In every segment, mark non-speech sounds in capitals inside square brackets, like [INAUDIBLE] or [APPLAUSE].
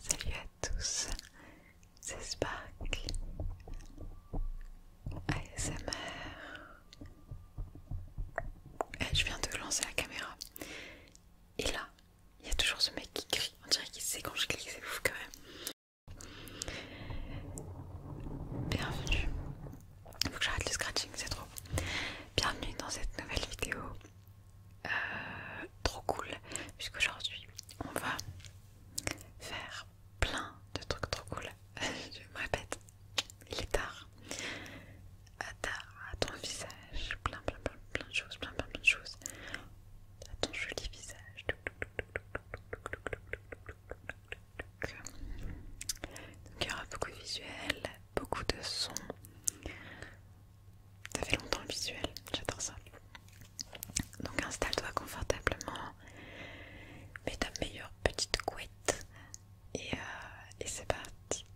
Salut à tous, c'est Spark ASMR Je viens de lancer la caméra et là il y a toujours ce mec qui crie, on dirait qu'il sait quand je clique, c'est ouf quand même Bienvenue faut que j'arrête le scratching, c'est trop. Bienvenue dans cette nouvelle vidéo. trop cool, puisqu'aujourd'hui on va faire plein de trucs trop cool. Je me répète, il est tard. À tard, à ton visage, plein, plein, plein, plein de choses, plein, plein, plein de choses. À ton joli visage. Donc il y aura beaucoup de visuels, beaucoup de sons. Ça fait longtemps le visuel, j'adore ça. Donc installe-toi confortablement, mets ta meilleure petite couette et, euh, et c'est parti.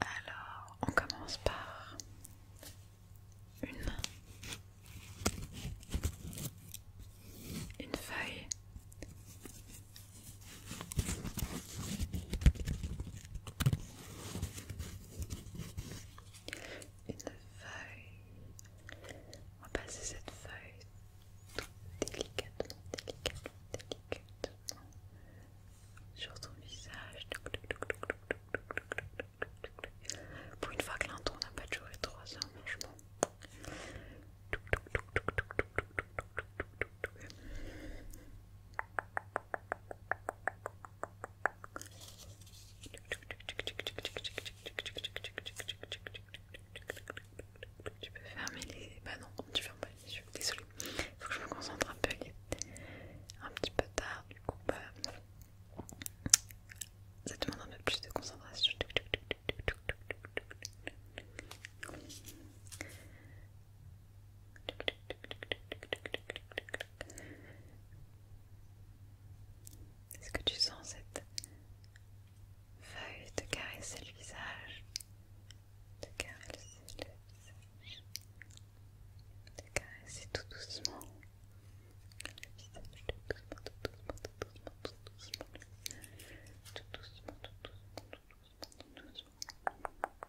Alors on commence par une, une feuille une feuille. On va passer cette feuille délicatement, délicatement, délicatement sur ton visage. Pour une fois que l'un n'a pas duré trois heures, franchement. Tu peux fermer les... Bah non, tu fermes pas les yeux, désolé. Faut que je me concentre un peu. Un petit peu tard, du coup, bah, Ça demande un peu plus de concentration. Est-ce que tu sens cette feuille de caresser le visage Te caresser le visage Te caresser tout doucement, tout doucement, tout doucement, tout doucement, tout doucement, tout doucement, tout doucement, tout doucement.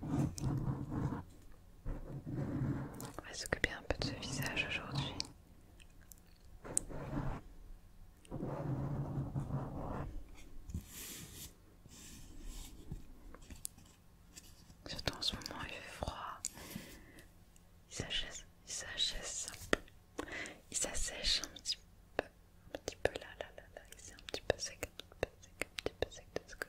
On va s'occuper un peu de ce visage aujourd'hui. Surtout en ce moment, il fait froid. Il sèche, il peu, il s'assèche un petit peu, un petit peu là, là, là, là. s'est un petit peu sec, un petit peu sec, un petit peu sec de ce côté.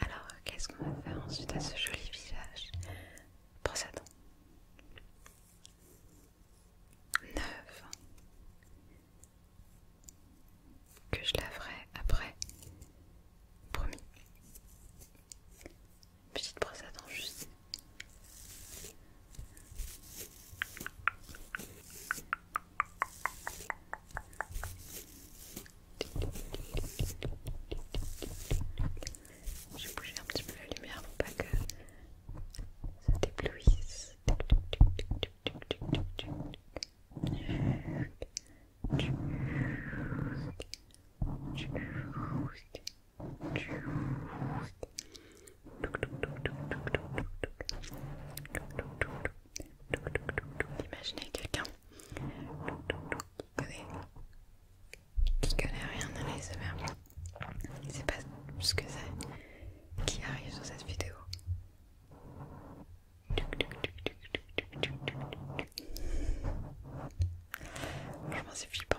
Alors, qu'est-ce qu'on va faire ensuite à ce joli visage Brosse à dents. Neuve. Que je laverai après. Promis. Petite brosse à dents juste. J'ai bougé un petit peu la lumière pour pas que ça déblouisse. Imaginez quelqu'un qui connaît, qui connaît rien à il ne sait pas ce que c'est, qui arrive sur cette vidéo. Franchement, c'est flippant.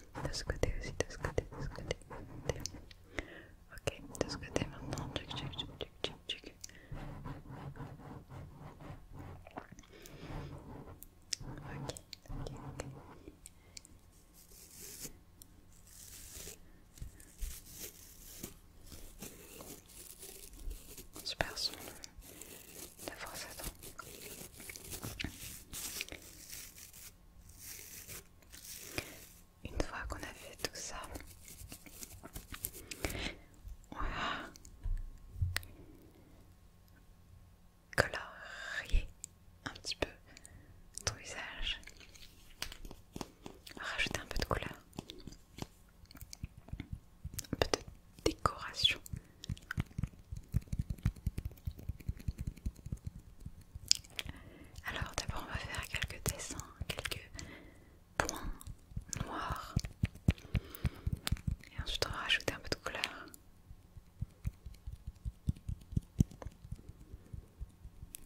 de ce côté aussi, de ce côté, de ce côté, Ok, de ce côté maintenant, tchuk tchuk tchuk tchuk tchuk. Ok, ok, ok. Super son ça Une fois qu'on a fait tout ça, voilà. Colorier un petit peu ton visage, rajouter un peu de couleur, un peu de décoration alors d'abord on va faire quelques dessins, quelques points noirs et ensuite on va rajouter un peu de couleur.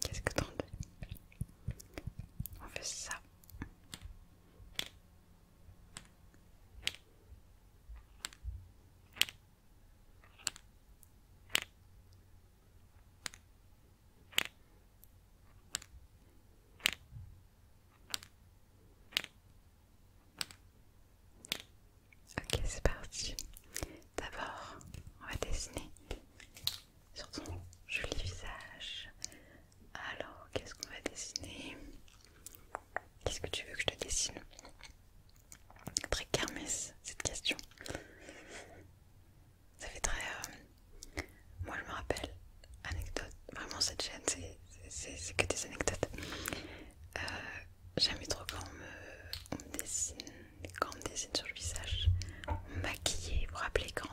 Qu'est-ce que t'en veux On fait ça. Ok, c'est parti. D'abord, on va dessiner sur ton joli visage. Alors, qu'est-ce qu'on va dessiner Qu'est-ce que tu veux que je te dessine Très kermesse cette question. Ça fait très. Euh, moi je me rappelle, anecdote, vraiment cette chaîne c'est que des anecdotes. Euh, j'aime trop quand on me, dessine, quand on me dessine sur le visage, on Vous vous rappelez quand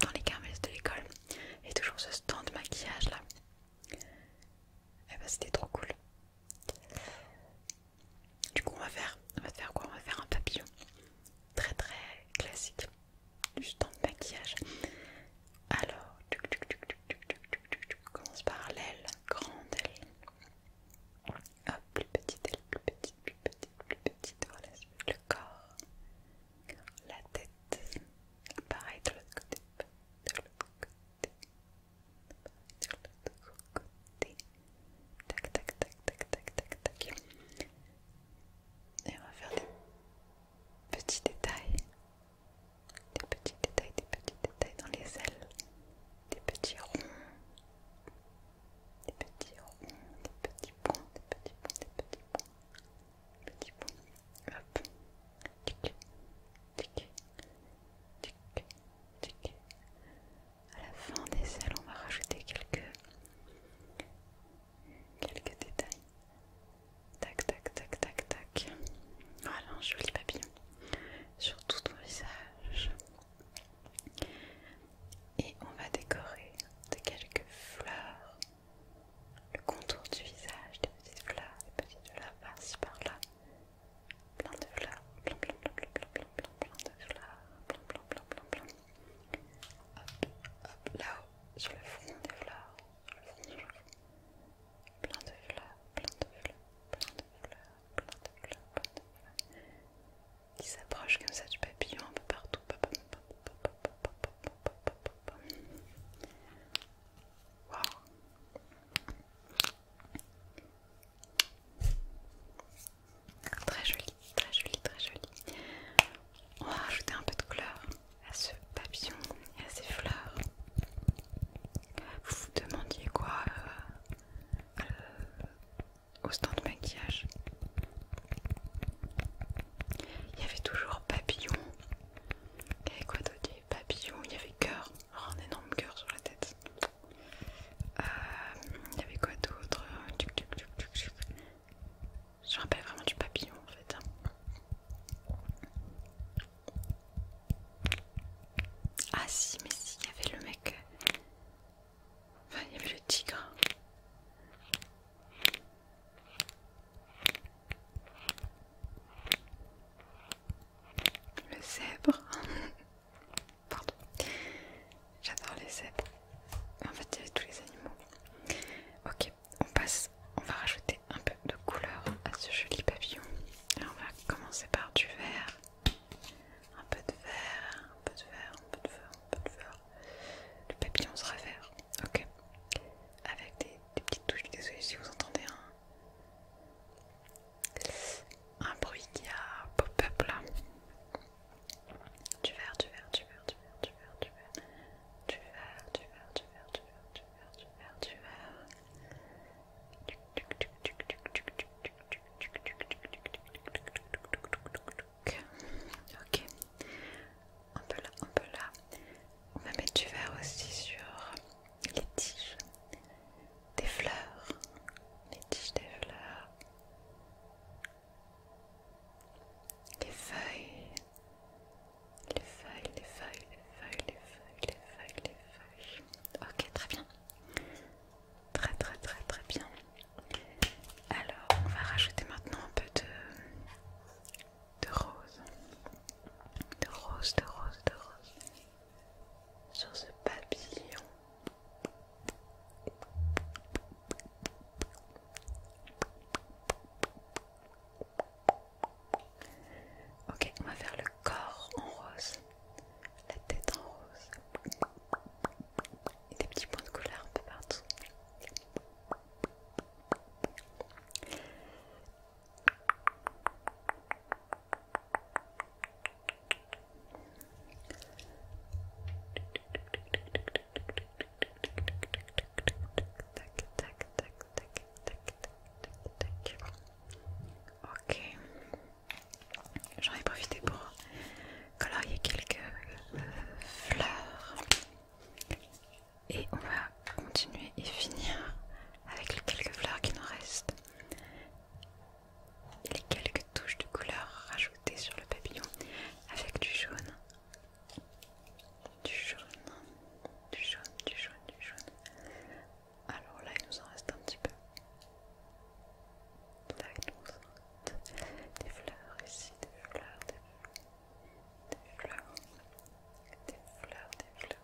dans les kermesses de l'école, il y a toujours ce stand de maquillage là. Et eh bah ben, c'était trop cool. Du coup on va faire, on va faire quoi On va faire un papillon très très classique, juste en maquillage. Alors, tuc, commence par l'aile, grande aile. Hop, plus petite aile, plus petite, plus petite, plus petite. Voilà, le corps, la tête. Pareil de l'autre côté, de l'autre côté, va le le côté. Tac, tac, tac, tac, tac, tac, tac. Et on va faire des petits détails. Des petits détails, des petits détails dans les ailes. Des petits ronds. Des petits ronds, des petits points, des petits points, des petits points. petits points. Hop tic, tic, tic, tic. À la fin des ailes, on va rajouter quelques, quelques détails. Tac, tac, tac, tac, tac. Voilà un joli papillon sur tout ton visage. Et on va décorer de quelques fleurs le contour du visage, des petites fleurs, des petites fleurs par-ci par-là plein de fleurs, plein, plein, plein, plein, plein, plein, plein, de fleurs, plein, plein, plein, plein, plein. Hop, là-haut, sur le fond des fleurs, Plein de fleurs, plein de fleurs, plein de fleurs, plein de fleurs, plein de fleurs. Qui s'approchent comme ça du papillon un peu partout. Waouh Très joli, très joli, très joli. On va rajouter un peu de couleur à ce papillon et à ces fleurs. Vous vous demandiez quoi euh, euh, au stand de maquillage Il y avait toujours papillon. Il y avait quoi d'autre papillon il y avait cœur, oh, un énorme cœur sur la tête. Euh, il y avait quoi d'autre Je me rappelle vraiment du papillon en fait. Hein. Ah si, mais si, il y avait le mec. Euh, enfin, il y avait le tigre le zèbre. [LAUGHS] Pardon, j'adore les zèbres. En fait, il y avait tous les animaux. Ok, on passe. On va rajouter un peu de couleur à ce joli papillon. on va commencer par du vert. Un peu de vert, un peu de vert, un peu de vert, un peu de vert. Le papillon sera vert. Ok. Avec des, petites touches. Désolé si vous entendez un, un bruit qui a pop-up là. Du tu du verre, du verre, tu tu tu tu tu tu tu tu tu tu tu tu tu tu tu tu tu tu tu un peu tu un peu là. On va mettre du vert aussi sur les tiges des fleurs, les tiges des fleurs, les feuilles, les feuilles, les feuilles, les feuilles, les feuilles, les feuilles, les feuilles. Ok, très bien. Très très très très bien. Alors, on va rajouter maintenant un peu de, de rose. De rose, de rose, de rose sur ce papillon. Ok, on va faire le corps en rose, la tête en rose et des petits points de couleur un peu partout. Ok. J'en ai profité pour colorier quelques euh, fleurs. Et on va continuer et finir avec les quelques fleurs qui nous restent et les quelques touches de couleur rajoutées sur le papillon avec du jaune, du jaune, du jaune, du jaune, du jaune. Alors là, il nous en reste un petit peu. Là, il nous reste des fleurs ici, des fleurs, des fleurs, des fleurs, des fleurs, des fleurs,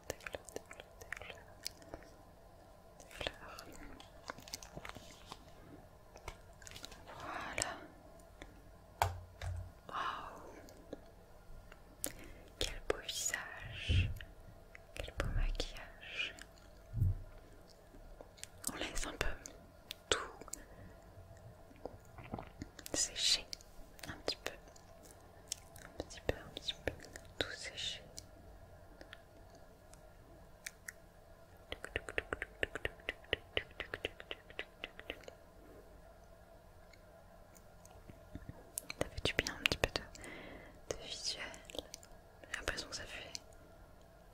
voilà. Waouh. Quel beau visage. Quel beau maquillage. On laisse un peu tout sécher un petit peu un petit peu, un petit peu, tout séché. T'as fait du bien un petit peu de, visuel. J'ai l'impression que ça fait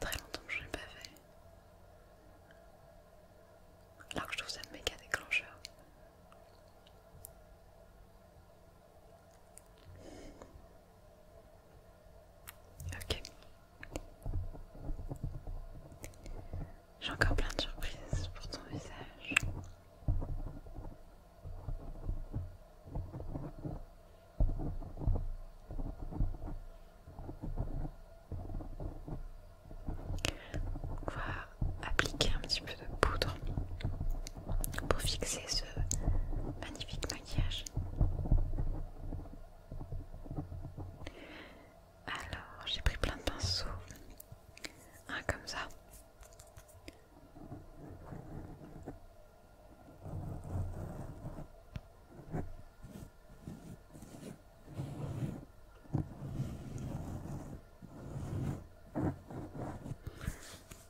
très longtemps que je l'ai pas fait. Alors que je trouve ça méga déclencheur. Ok. J'ai encore plein de surprises pour ton visage appliquer un petit peu de poudre pour fixer ce magnifique maquillage. Alors, j'ai pris plein de pinceaux. Un comme ça.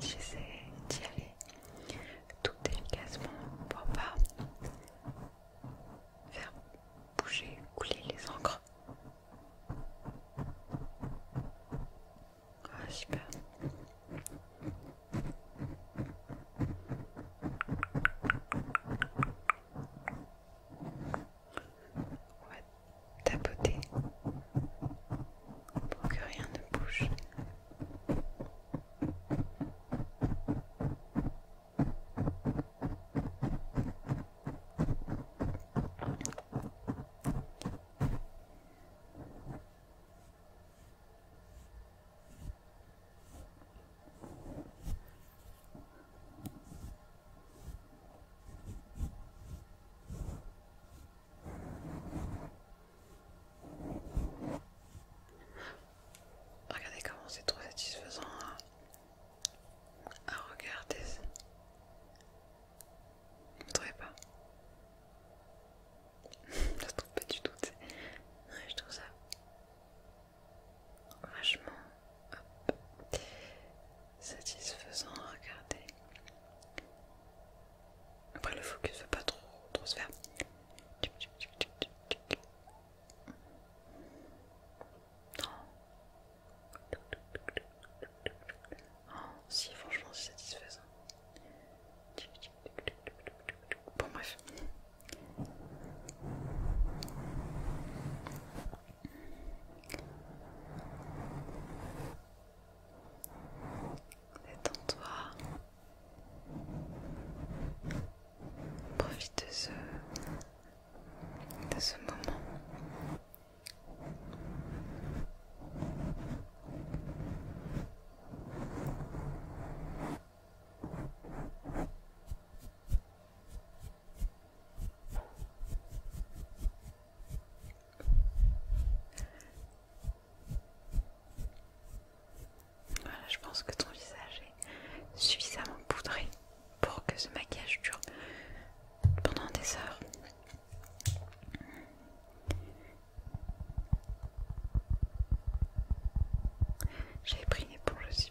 J'essaie d'y aller tout délicatement pour pas faire bouger, couler les encres. Ah, super tapoter pour que rien ne bouge. Regardez comment c'est trop satisfaisant à, regarder. Vous ne trouvez pas ça se trouve pas du tout, ouais, je trouve ça vachement satisfaisant à regarder. Après, le focus veut pas trop, trop se faire. Non. si, franchement, c'est satisfaisant. Bon bref. Détends-toi. Profite de ce, de ce moment. Voilà, je pense que ton visage est suffisamment poudré pour que ce maquillage dure pendant des heures. J'avais pris une éponge aussi.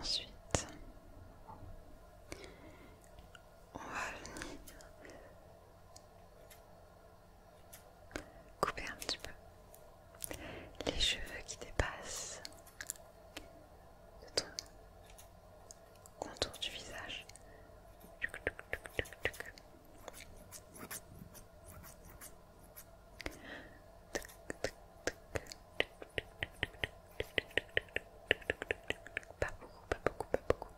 Ensuite, on va venir Couper un petit peu les cheveux qui dépassent le contour du visage. Pas beaucoup, pas beaucoup, pas beaucoup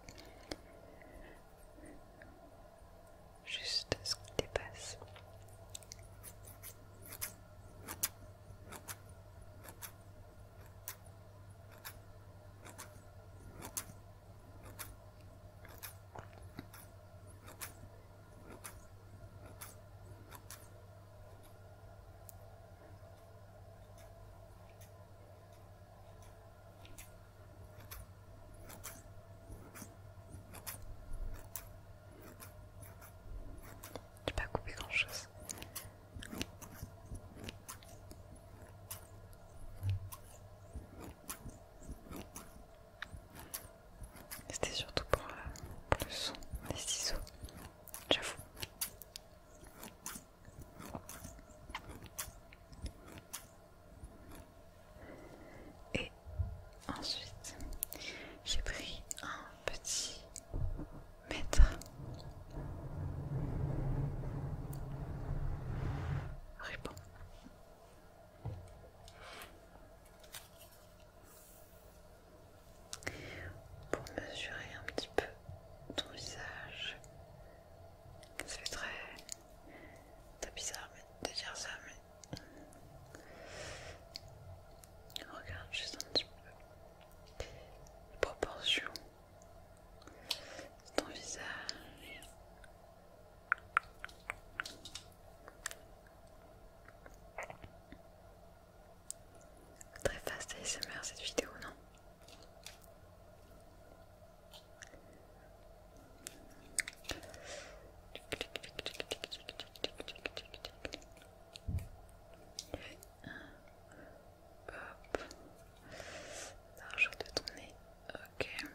juste ce qui dépasse. J'ai pas coupé grand chose. C'était surtout pour, euh, le son des ciseaux, j'avoue. Et ensuite, j'ai pris un petit mètre. Répond. Pour mesurer un petit peu ton visage, c'est très, très bizarre de dire ça, mais Regarde juste un petit peu les proportions de ton visage. Très fast ASMR cette vidéo, non Hop. Large de ton nez. Ok. La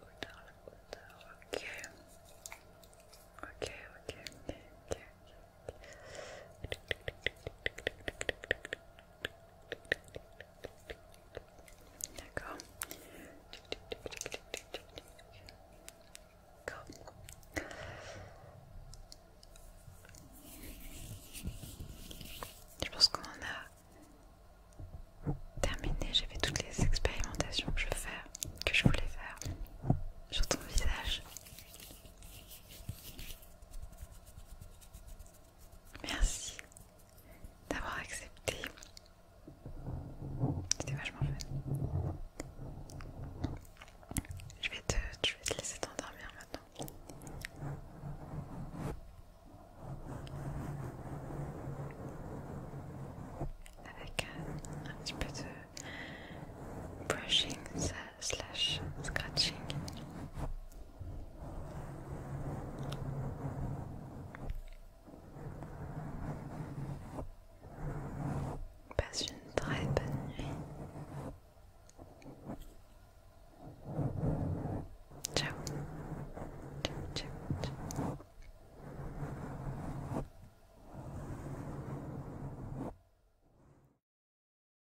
hauteur, la hauteur. Ok, ok, ok, ok. D'accord. Je pense qu'on en a terminé. J'ai fait toutes les expérimentations que je faire, que je voulais faire sur ton visage. Merci d'avoir accepté. C'était vachement fun. Je vais te, laisser t'endormir maintenant. Avec un, petit peu de brushing, slash scratching. Passe une très bonne nuit. Ciao. ciao.